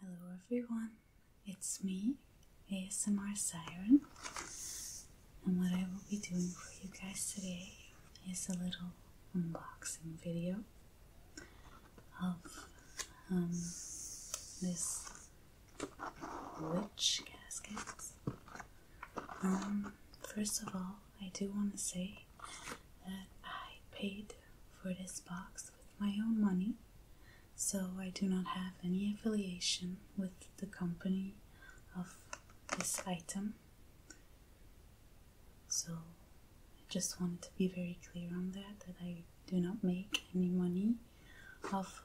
Hello everyone, it's me, ASMR Siren, and what I will be doing for you guys today is a little unboxing video of um, this witch casket. Um, first of all, I do want to say that I paid for this box with my own money, so I do not have any affiliation with the company of this item. So I just wanted to be very clear on that that I do not make any money of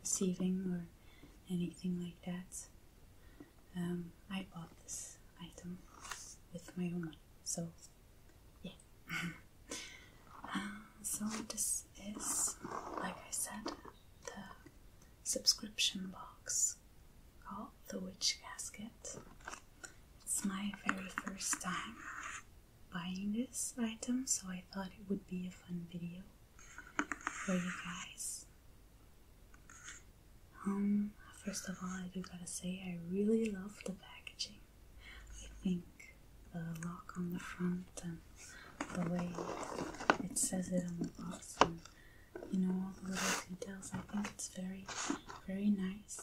receiving or anything like that. Um, I bought this item with my own money, so yeah. Uh, so this is, like I said, the subscription box called the Witch Casket. It's my very first time buying this item, so I thought it would be a fun video for you guys. Um, first of all, I do gotta say I really love the packaging. I think the lock on the front and the way it says it on the box and you know all the little details. I think it's very, very nice.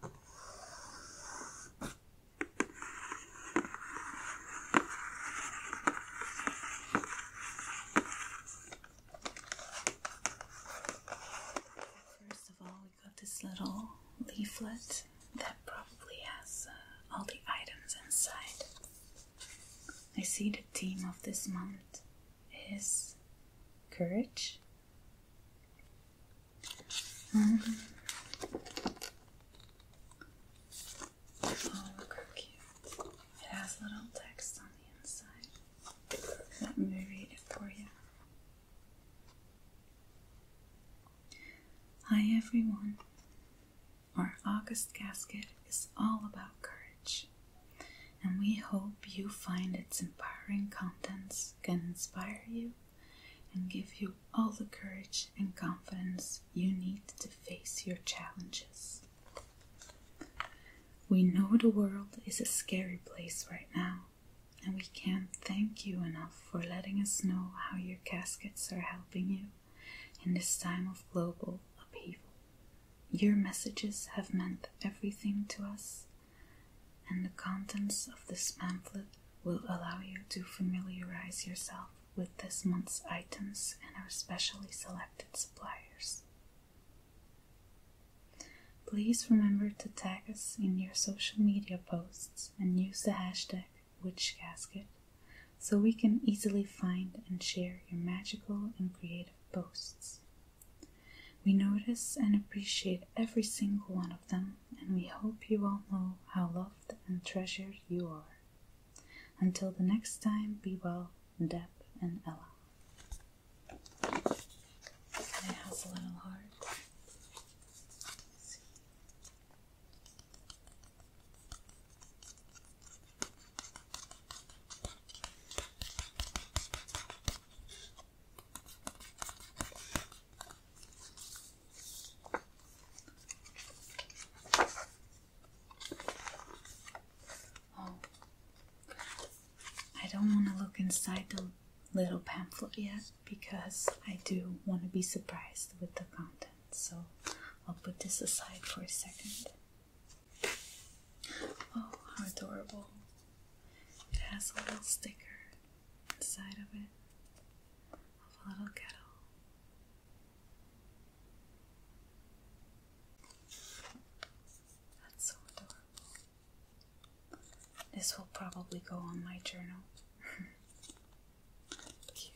First of all, we got this little leaflet that probably has uh, all the items inside. I see the theme of this month is courage. Hi, everyone. Our August gasket is all about courage, and we hope you find its empowering contents can inspire you and give you all the courage and confidence you need to face your challenges. We know the world is a scary place right now, and we can't thank you enough for letting us know how your caskets are helping you in this time of global upheaval. Your messages have meant everything to us, and the contents of this pamphlet will allow you to familiarize yourself with this month's items and our specially selected suppliers. Please remember to tag us in your social media posts and use the hashtag WitchGasket so we can easily find and share your magical and creative posts. We notice and appreciate every single one of them, and we hope you all know how loved and treasured you are. Until the next time, be well, Deb and Ella. it has a little heart. Oh, I don't want to look inside the little pamphlet yet because I do want to be surprised with the content. So I'll put this aside for a second. Oh, how adorable! It has a little sticker inside of it of a little kettle. That's so adorable. This will probably go on my journal. Cute.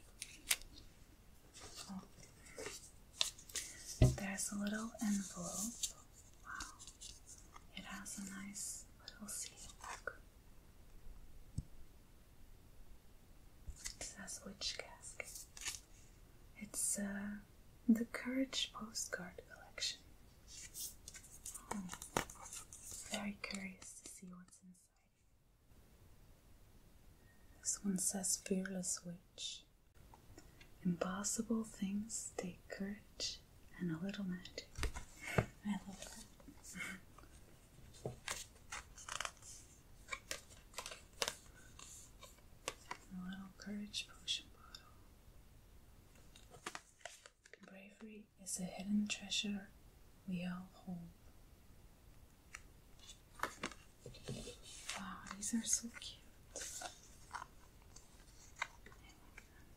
Oh. There's a little envelope. Wow. It has a nice little seal. It says Witch Casket. It's uh, the Courage Postcard Collection. Hmm. very curious to see what's inside. This one says Fearless Witch. Impossible things take courage and a little magic. I love that. Mm-hmm. A little courage potion bottle. Bravery is a hidden treasure we all hold. Wow, these are so cute.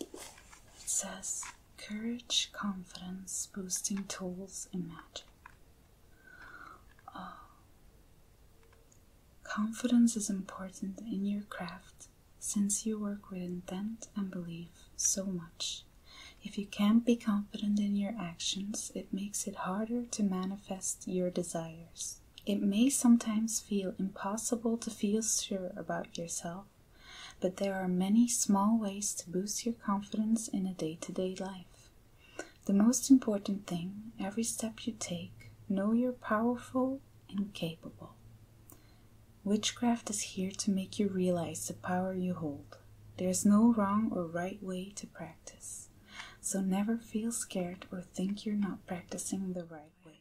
It says courage, confidence, boosting tools, and magic. Oh. Confidence is important in your craft since you work with intent and belief so much. If you can't be confident in your actions, it makes it harder to manifest your desires. It may sometimes feel impossible to feel sure about yourself but there are many small ways to boost your confidence in a day to day life. The most important thing every step you take, know you're powerful and capable. Witchcraft is here to make you realize the power you hold. There's no wrong or right way to practice. So never feel scared or think you're not practicing the right way.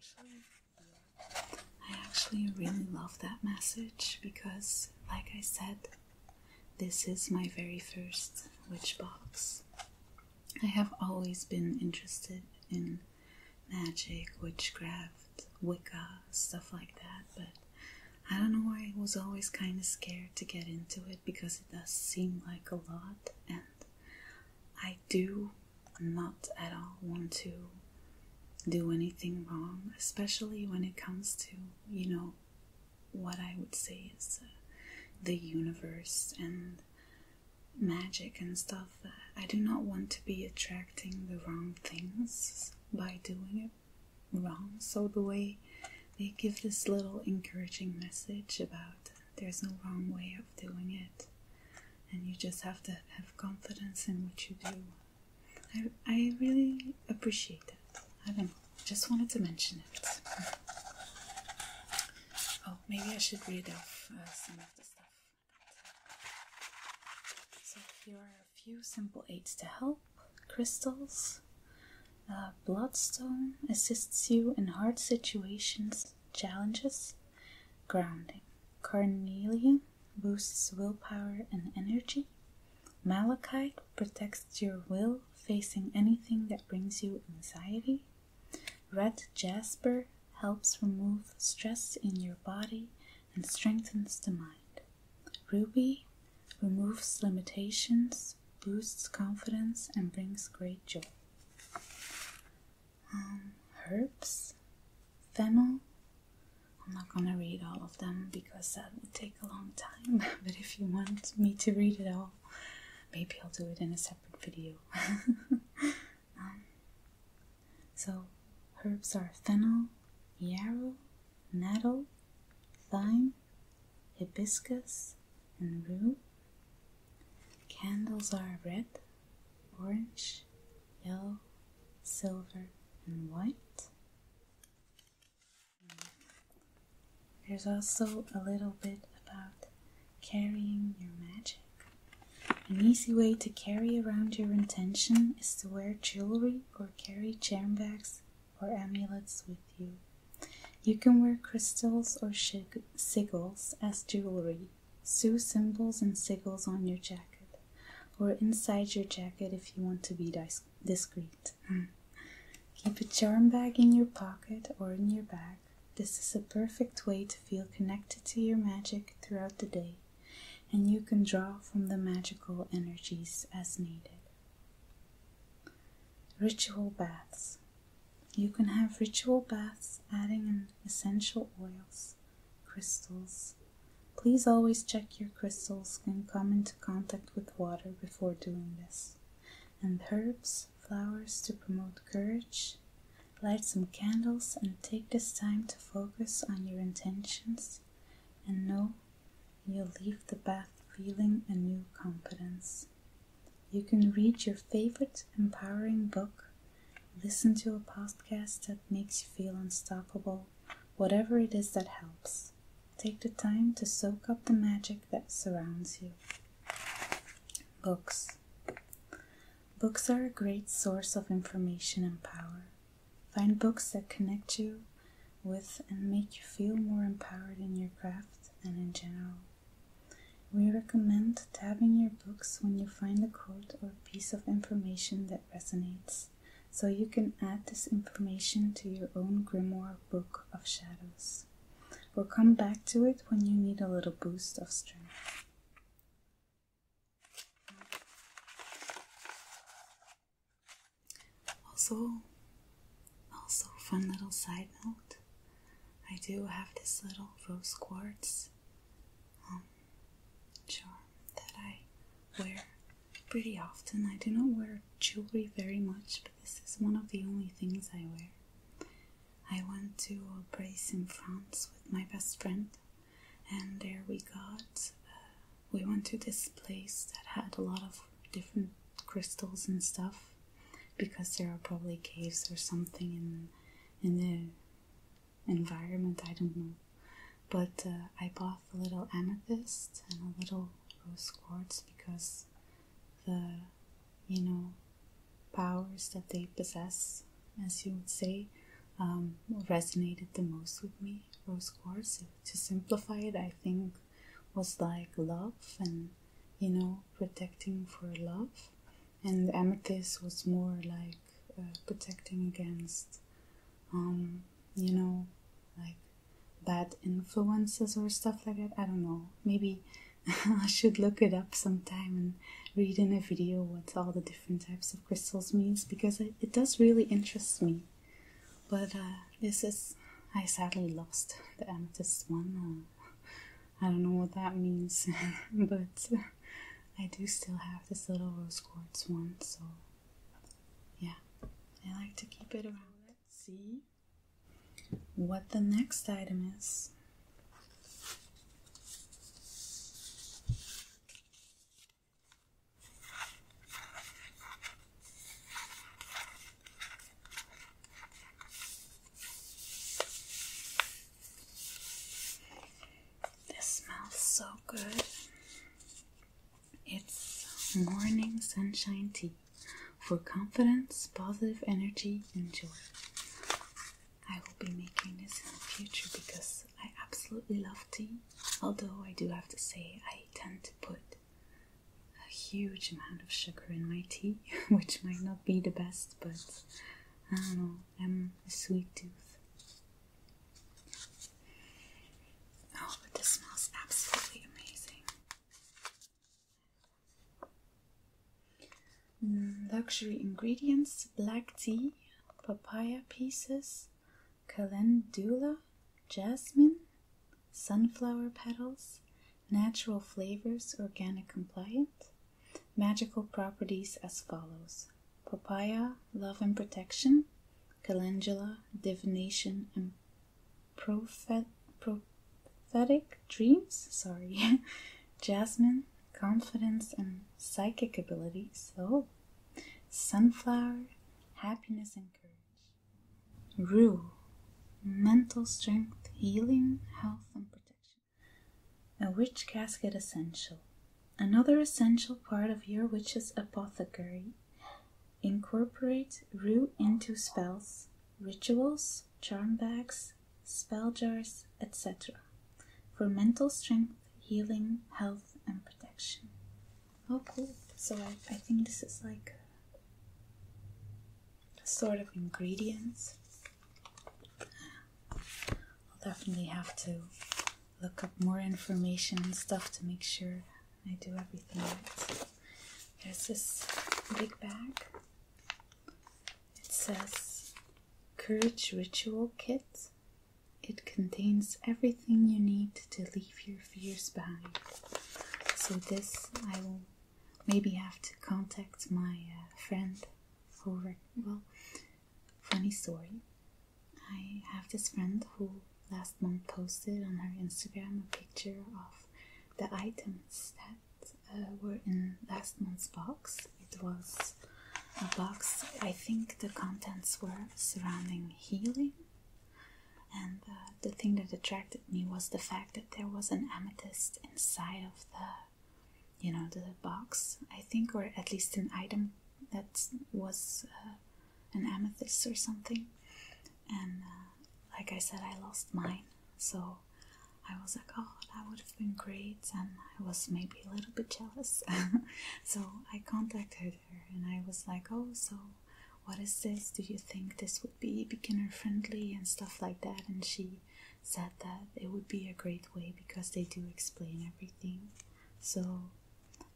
I actually really love that message because, like I said, this is my very first witch box. I have always been interested in magic, witchcraft, Wicca, stuff like that, but I don't know why I was always kind of scared to get into it because it does seem like a lot and. I do not at all want to do anything wrong, especially when it comes to, you know, what I would say is uh, the universe and magic and stuff. I do not want to be attracting the wrong things by doing it wrong. So, the way they give this little encouraging message about there's no wrong way of doing it and you just have to have confidence in what you do. I, I really appreciate that. I just wanted to mention it. Oh, maybe I should read off uh, some of the stuff. So, here are a few simple aids to help crystals. Uh, bloodstone assists you in hard situations, challenges, grounding. Carnelian boosts willpower and energy. Malachite protects your will facing anything that brings you anxiety. Red jasper helps remove stress in your body and strengthens the mind. Ruby removes limitations, boosts confidence, and brings great joy. Um, herbs, fennel. I'm not gonna read all of them because that would take a long time, but if you want me to read it all, maybe I'll do it in a separate video. Um, so, herbs are fennel, yarrow, nettle, thyme, hibiscus, and rue. Candles are red, orange, yellow, silver, and white. There's also a little bit about carrying your magic. An easy way to carry around your intention is to wear jewelry or carry charm bags or amulets with you. You can wear crystals or sigils as jewelry Sew symbols and sigils on your jacket, or inside your jacket if you want to be discreet. Keep a charm bag in your pocket or in your bag. This is a perfect way to feel connected to your magic throughout the day, and you can draw from the magical energies as needed. Ritual baths. You can have ritual baths adding in essential oils crystals. Please always check your crystals can come into contact with water before doing this. And herbs, flowers to promote courage. Light some candles and take this time to focus on your intentions and know you'll leave the bath feeling a new confidence. You can read your favorite empowering book Listen to a podcast that makes you feel unstoppable, whatever it is that helps. Take the time to soak up the magic that surrounds you. Books. Books are a great source of information and power. Find books that connect you with and make you feel more empowered in your craft and in general. We recommend tabbing your books when you find a quote or piece of information that resonates, so you can add this information to your own grimoire book of shadows, We'll come back to it when you need a little boost of strength. Also, also fun little side note, I do have this little rose quartz. Um, charm that I wear pretty often. I do not wear jewelry very much, but this is one of the only things I wear. I went to a place in France with my best friend, and there we got. Uh, we went to this place that had a lot of different crystals and stuff because there are probably caves or something in in the environment, I don't know. But uh, I bought a little amethyst and a little rose quartz because the, you know, powers that they possess, as you would say, um, resonated the most with me. Rose quartz, to simplify it, I think was like love and, you know, protecting for love. And amethyst was more like uh, protecting against, um, you know, like bad influences or stuff like that. I don't know. Maybe I should look it up sometime and read in a video what all the different types of crystals means because it, does really interest me. But uh, this is I sadly lost the amethyst one. Uh, I don't know what that means, but I do still have this little rose quartz one, so yeah, I like to keep it around. Let's see what the next item is. This smells so good. It's morning sunshine tea for confidence, positive energy, and joy. I will be making this in the future because I absolutely love tea. Although I do have to say, I tend to put a huge amount of sugar in my tea, which might not be the best, but I don't know i am a sweet tooth. Oh, but this smells absolutely amazing. Mm, luxury ingredients black tea, papaya pieces, calendula, jasmine, sunflower petals, natural flavors, organic compliant, magical properties as follows Papaya, Love and Protection, Calendula, Divination, and Prophetic Dreams, sorry, Jasmine, Confidence and Psychic Abilities, oh, Sunflower, Happiness and Courage, Rue, Mental Strength, Healing, Health and Protection, a rich Casket Essential. Another essential part of your witch's apothecary incorporate rue into spells, rituals, charm bags, spell jars, etc. for mental strength, healing, health, and protection. Oh, cool. So I, think this is like a sort of ingredients. I'll definitely have to look up more information and stuff to make sure I do everything right. There's this big bag. It says Courage Ritual Kit. It contains everything you need to leave your fears behind. So, this I will maybe have to contact my uh, friend who, well, Funny story. I have this friend who last month posted on her Instagram a picture of the items that uh, were in last month's box. It was a box, I think the contents were surrounding healing. And uh, the thing that attracted me was the fact that there was an amethyst inside of the, you know, the box, I think, or at least an item that was uh, an amethyst or something, and uh, like I said, I lost mine. So I was like, oh, that would have been great, and I was maybe a little bit jealous. so I contacted her and I was like, oh, so what is this? Do you think this would be beginner friendly and stuff like that? And she said that it would be a great way because they do explain everything. So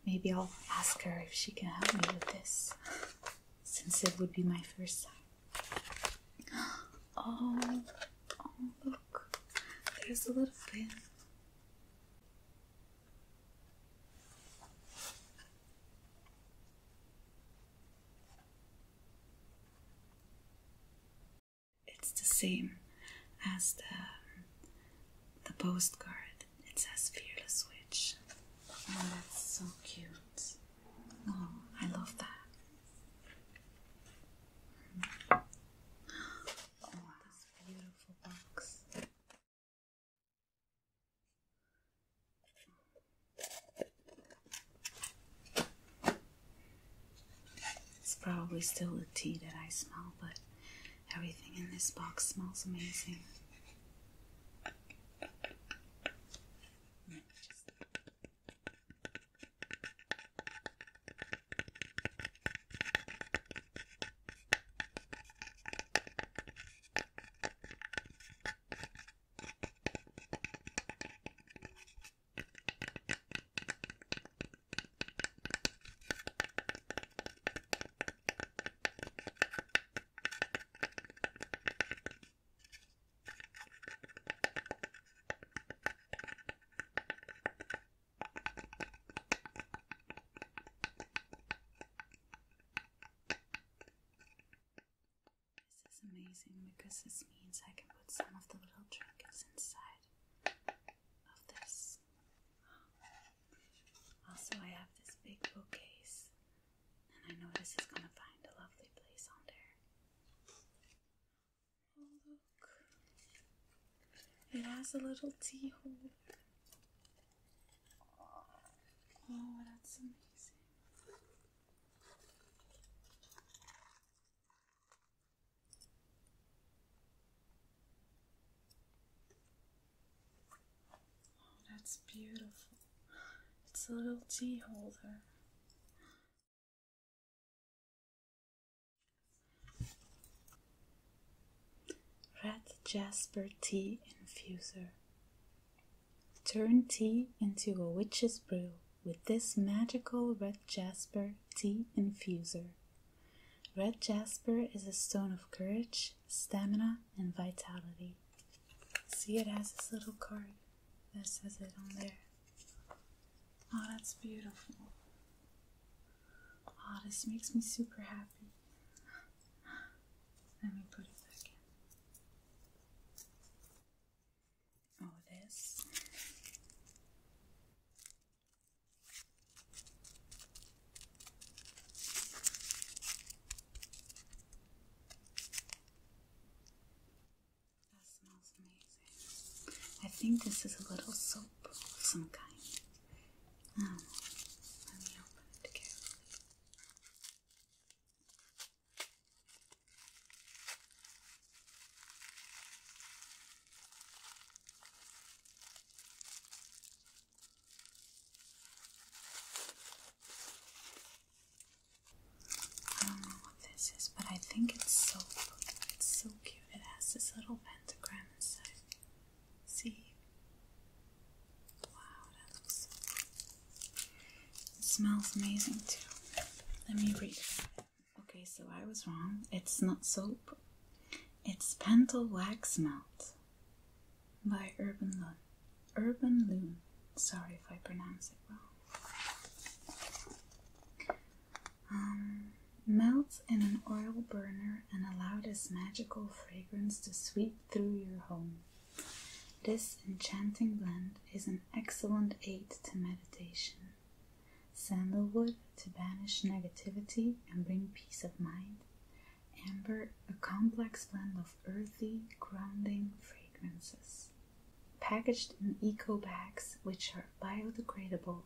Maybe I'll ask her if she can help me with this, since it would be my first time. Oh, oh look, there's a little pin. It's the same as the, the postcard. It says Fearless Witch. Oh, that's so cute. Oh, I love that. Mm-hmm. Oh, this beautiful box. It's probably still the tea that I smell, but Everything in this box smells amazing. This is amazing because this means I can put some of the little trinkets inside of this also, I have this big bookcase, and I know this is gonna find a lovely place on there. Oh, look, it has a little tea hole. Oh, that's amazing that's beautiful. It's a little tea holder. Red Jasper Tea Infuser. Turn tea into a witch's brew with this magical red jasper tea infuser. Red jasper is a stone of courage, stamina, and vitality. See, it has this little card that says it on there. Oh, that's beautiful. Oh, this makes me super happy. Let me put it back in. Oh, this. That smells amazing. I think this is a little soap of some kind. Um, let me open it carefully. I don't know what this is, but I think it's soap. It's so cute. It has this little pentagram inside. See? Wow, that looks so It smells amazing too. Let me read Okay, so I was wrong. It's not soap. It's Pentel Wax Melt by Urban Lune, Urban Loon. Sorry if I pronounce it wrong. Um, melt in an oil burner and allow this magical fragrance to sweep through your home. This enchanting blend is an excellent aid to meditation sandalwood to banish negativity and bring peace of mind, amber a complex blend of earthy, grounding fragrances. Packaged in eco bags, which are biodegradable,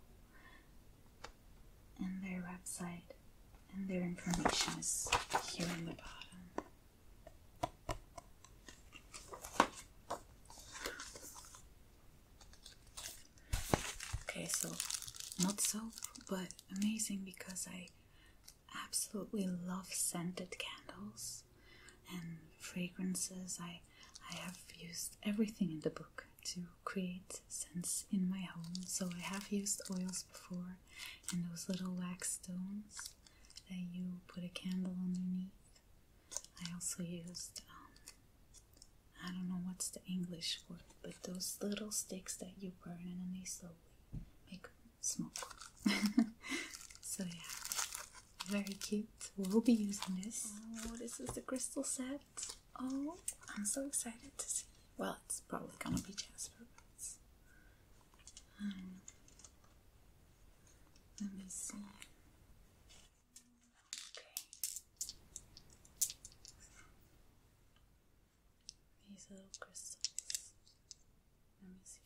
and their website and their information is here in the bottom. Okay, so not soap, but amazing because I absolutely love scented candles and fragrances. I I have used everything in the book to create sense in my home. So I have used oils before and those little wax stones that you put a candle underneath. I also used um, I don't know what's the English word, but those little sticks that you burn and then they slowly make smoke. so yeah, very cute. We'll be using this. Oh, this is the crystal set. Oh, I'm so excited to see. Well, it's probably gonna be Jasper. Um, let me see. Okay. These little crystals. Let me see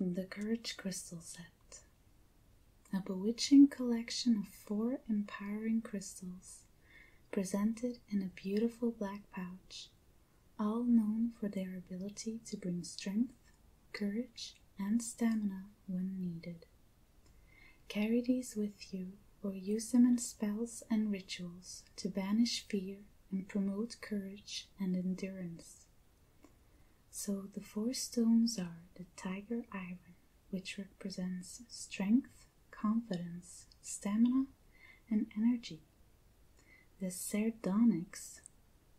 the Courage Crystal Set. A bewitching collection of four empowering crystals presented in a beautiful black pouch, all known for their ability to bring strength, courage, and stamina when needed. Carry these with you or use them in spells and rituals to banish fear and promote courage and endurance. So the four stones are the tiger iron, which represents strength, confidence, stamina, and energy. The sardonyx,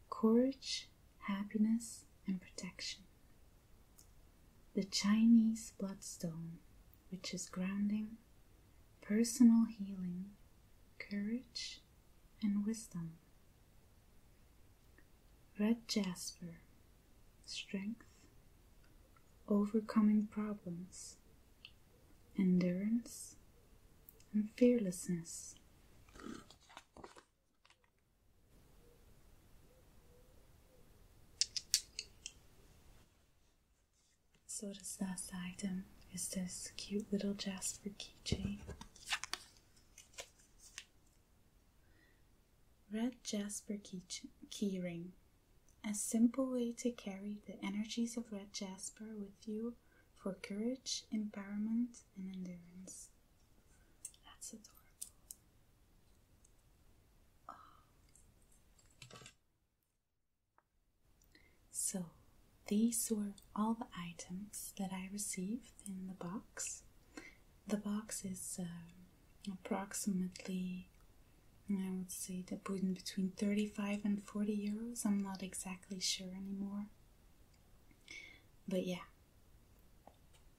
courage, happiness, and protection. The Chinese bloodstone, which is grounding, personal healing, courage, and wisdom. Red jasper, strength, overcoming problems, endurance, and fearlessness. So this last item is this cute little Jasper keychain. Red Jasper key, key a simple way to carry the energies of red jasper with you for courage, empowerment, and endurance. That's adorable. So, these were all the items that I received in the box. The box is uh, approximately I would say that in between 35 and 40 euros. I'm not exactly sure anymore. But yeah,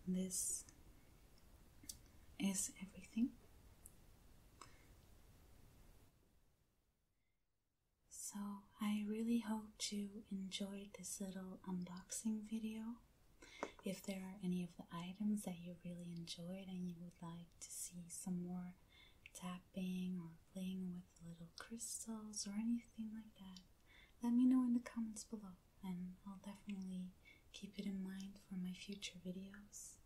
this is everything. So I really hope you enjoyed this little unboxing video. If there are any of the items that you really enjoyed and you would like to see some more tapping or playing with little crystals or anything like that, let me know in the comments below and I'll definitely keep it in mind for my future videos.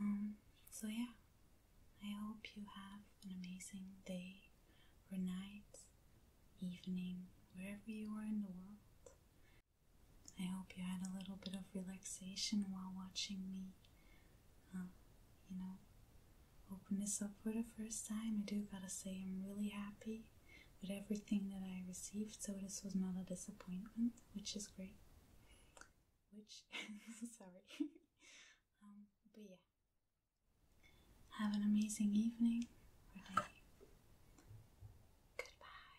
Um, so yeah, I hope you have an amazing day or night, evening, wherever you are in the world. I hope you had a little bit of relaxation while watching me, um, you know, open this up for the first time. I do gotta say, I'm really happy with everything that I received, so this was not a disappointment, which is great. Which, sorry. Um, but yeah. Have an amazing evening Goodbye.